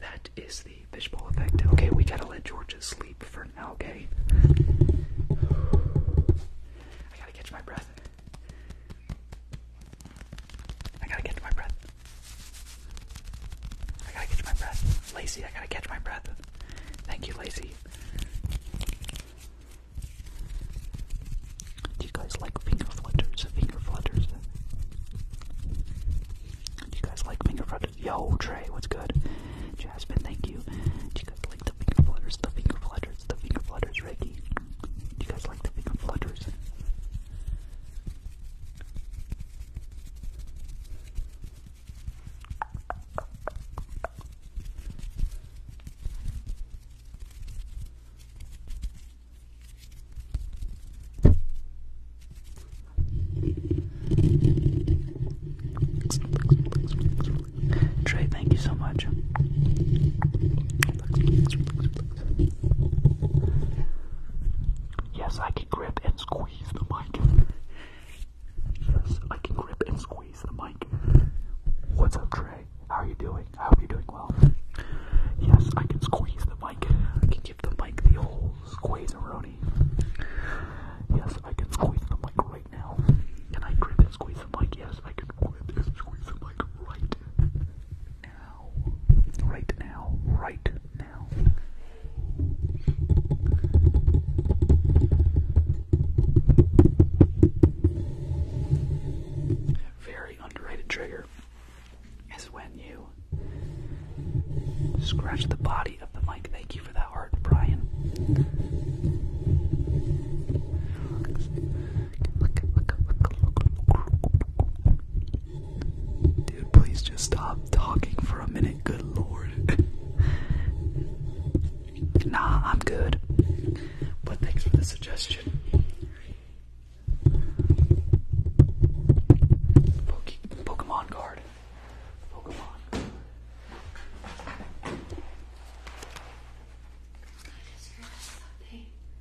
That is the fishbowl effect. Okay, we gotta let George sleep for now, okay? I gotta catch my breath. I gotta catch my breath. I gotta catch my breath. Lacy. I gotta catch my breath. Thank you, Lacy. Do you guys like finger flutters? Finger flutters. Do you guys like finger flutters? Yo, Trey, what's good? Jasmine, thank you. Do you guys like the finger flutters? The finger flutters the finger flutters, Reiki. Do you guys like the finger flutters? Trey, thank you so much. Yes, I can grip and squeeze the mic. yes, I can grip and squeeze the mic. What's up, Trey? How are you doing? I hope you're doing well. Yes, I can squeeze the mic. I can give the mic the old squeeze -a Yes, I can squeeze the mic right now. Can I grip and squeeze the mic? Yes, I can grip and squeeze the mic right now. Right now. Right now. Very underrated trigger is when you scratch the body of the mic. Thank you for that heart, Brian. Dude, please just stop talking for a minute, good lord. nah, I'm good. But thanks for the suggestion. Pokemon card.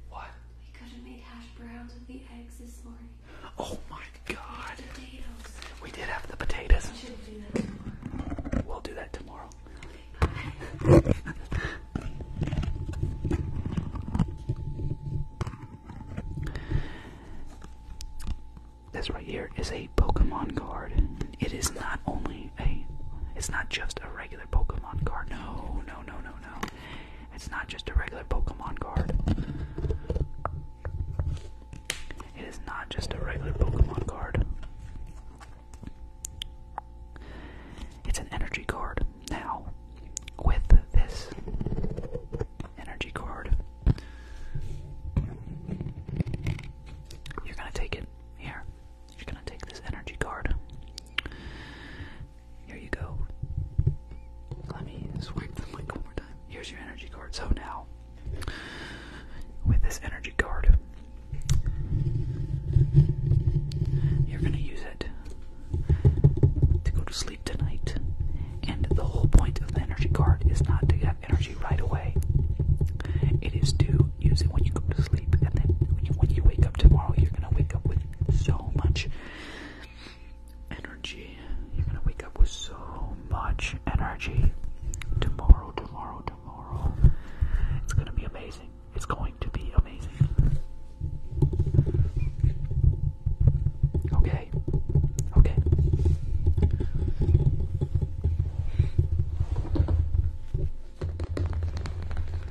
What? We could have made hash browns with the eggs this morning. Oh my god. Potatoes. We did have the potatoes. We should do that tomorrow. We'll do that tomorrow. Okay, bye. This right here is a Pokemon card. It is not only a it's not just a regular Pokemon card. No, no, no, no, no. It's not just a regular Pokemon card. It is not just a regular Pokemon card. It's an energy card. Now, with this energy card, you're gonna take it here. You're gonna take this energy card. Here you go. Let me swipe the link one more time. Here's your energy card. So now, with this energy card, you're going to use it to go to sleep tonight. And the whole point of the energy card is not to have energy right away. It is to use it when you go to sleep, and then when you wake up tomorrow, you're going to wake up with so much energy. You're gonna wake up with so much energy tomorrow, tomorrow, tomorrow. It's gonna be amazing. It's going to be amazing. Okay, okay.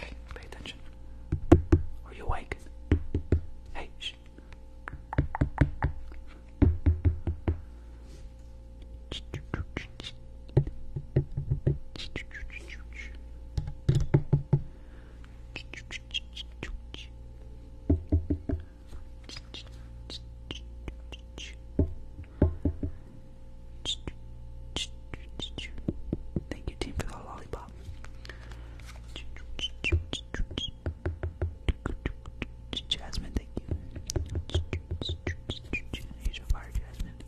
Hey, pay attention. Are you awake? Hey, Thank you, team, for the lollipop. Jasmine, thank you. Here's your fire, Jasmine.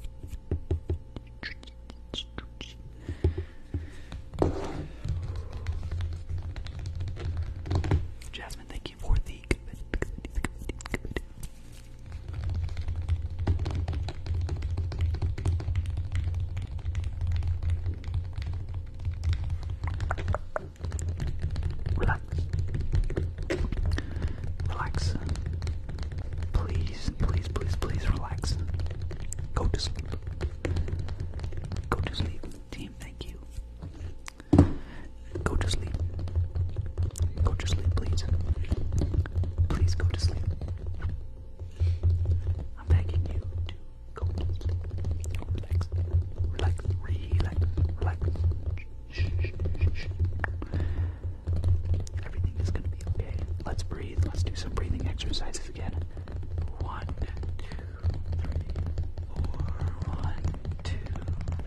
Jasmine, thank you for the Relax. Relax. Please, please, please, please relax. Go to sleep. Go to sleep. Team, thank you. Go to sleep. Go to sleep, please. Please go to sleep. I'm begging you to go to sleep. Relax. Relax. Relax. Relax. Everything is gonna be okay. Let's breathe. Let's do some breathing exercises again. One, two, three, four, one, two,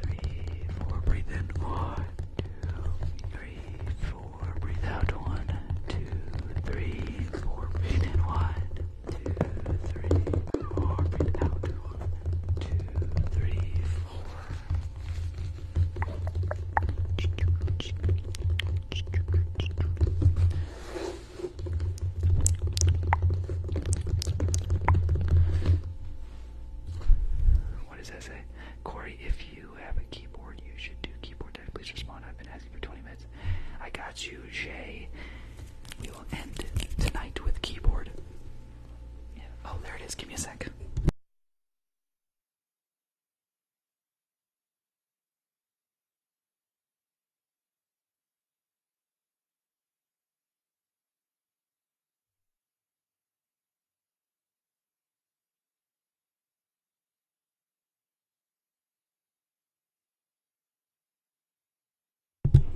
three, four. Breathe in, one, two, three, four. Breathe out, one, two, three, four. Breathe in, one, two, three, four. Breathe out, one, two, three, four. What does that say? Corey, if you have a keyboard, you should do keyboard tech. Please respond. I've been asking for 20 minutes. I got you, Jay. We will end tonight with keyboard. Oh, there it is. Give me a sec.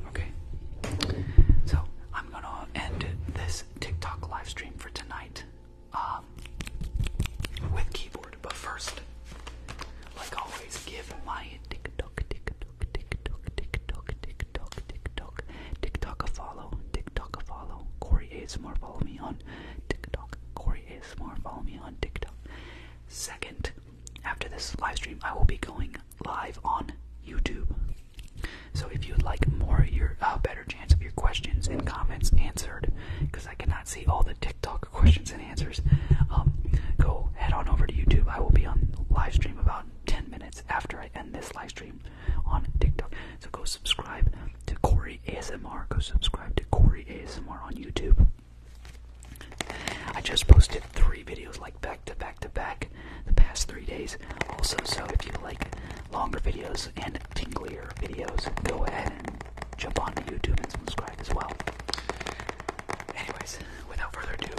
Okay. So I'm gonna end this TikTok live stream for tonight um, with keyboard, but first, like always, give my TikTok, TikTok, TikTok, TikTok, TikTok, TikTok, TikTok, TikTok a follow, TikTok a follow. Corey ASMR, follow me on TikTok. Corey ASMR, follow me on TikTok. Second, after this live stream, I will be going live on YouTube. So if you'd like more, your uh, better chance of your questions and comments answered, because I cannot see all the TikTok questions and answers, um, go head on over to YouTube. I will be on live stream about 10 minutes after after end this live stream on TikTok. So go subscribe to Corey ASMR. Go subscribe to Corey ASMR on YouTube. I just posted three videos like back to back to back the past three days. Also, so if you like longer videos and tinglier videos, go ahead and jump onto YouTube and subscribe as well. Anyways, without further ado,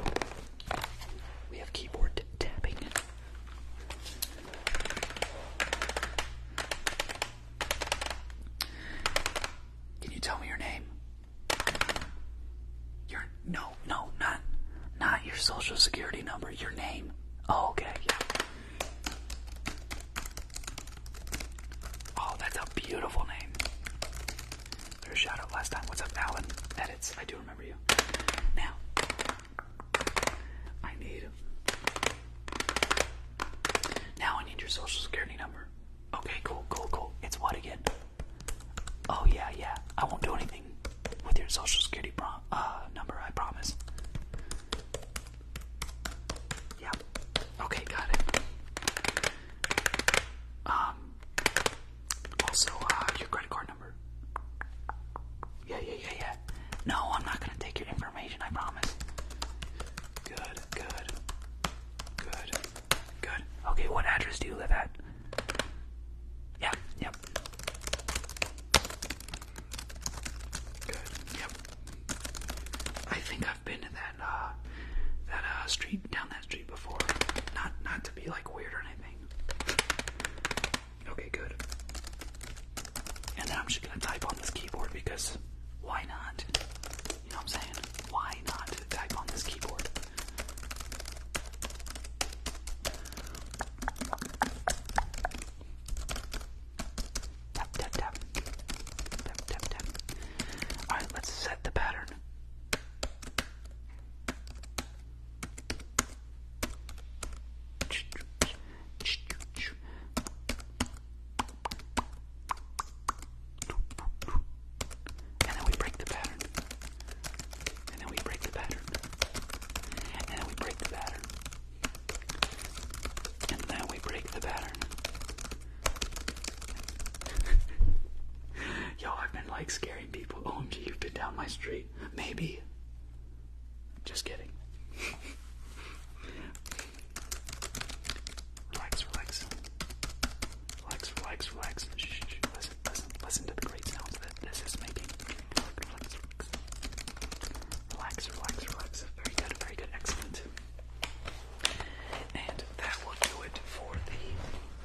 we have keyboard tapping. Can you tell me your name? Your no, no, not not your social security number, your name. Oh, okay, Oh, that's a beautiful name. There's a shout last time. What's up, Alan? Edits. I do remember. Now, I need. Now I need your social security number. Okay, cool, cool, cool. It's what again? Oh yeah, yeah. I won't do anything with your social security uh, number. I promise. Yeah. Okay, got it. Um, also, uh, your credit card number. Yeah, yeah, yeah, yeah. No, I'm not gonna take your information, I promise. Good, good, good, good. Okay, what address do you live at? Yeah, yep. Good, yep. I think I've been to that, uh, that, uh, street, down that street before. Not, not to be, like, weird or anything. Okay, good. And then I'm just gonna type on this keyboard because why not? You know what I'm saying? Why not type on this keyboard? Tap, tap, tap. Tap, tap, tap. Alright, let's set the pattern. And then we break the pattern. And then we break the pattern. And then we break the pattern. And then we break the pattern. Yo, I've been like scaring people. OMG, oh, you've been down my street. Maybe. Just kidding. relax, relax. Relax, relax, relax. Listen, listen, listen to the great sounds this is making. Relax, relax, relax. Very good, very good, excellent. And that will do it for the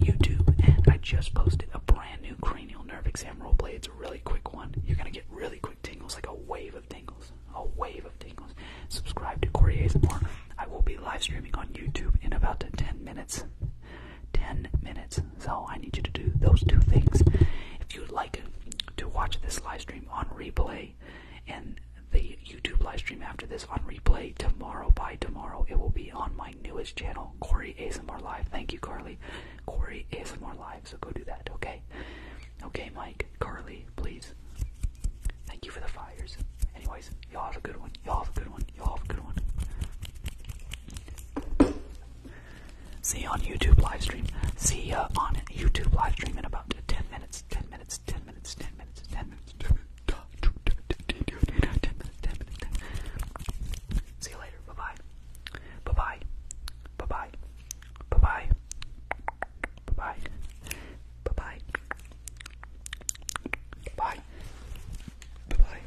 YouTube, and I just posted a brand new cranial nerve exam roleplay. It's a really quick one. You're gonna get really quick tingles, like a wave of tingles, a wave of tingles. Subscribe to Corey ASMR. I will be live streaming on YouTube in about 10 minutes. 10 minutes. So I need you to do those two things. If you'd like to watch this live stream on replay, and the YouTube live stream after this on replay tomorrow by tomorrow, it will be on my newest channel, Corey ASMR Live. Thank you, Carly. Corey ASMR Live, so go do that, okay? Okay, Mike, Carly, please. Thank you for the fires. Anyways, y'all have a good one. Y'all have a good one. Y'all have a good one. See you on YouTube livestream. See ya on YouTube livestream in about 10 minutes. 10 minutes. 10 minutes. 10 minutes. 10 minutes. 10 minutes. See you later. Bye bye. Bye bye. Bye bye. Bye bye. Bye bye. Bye bye. Bye. Bye bye.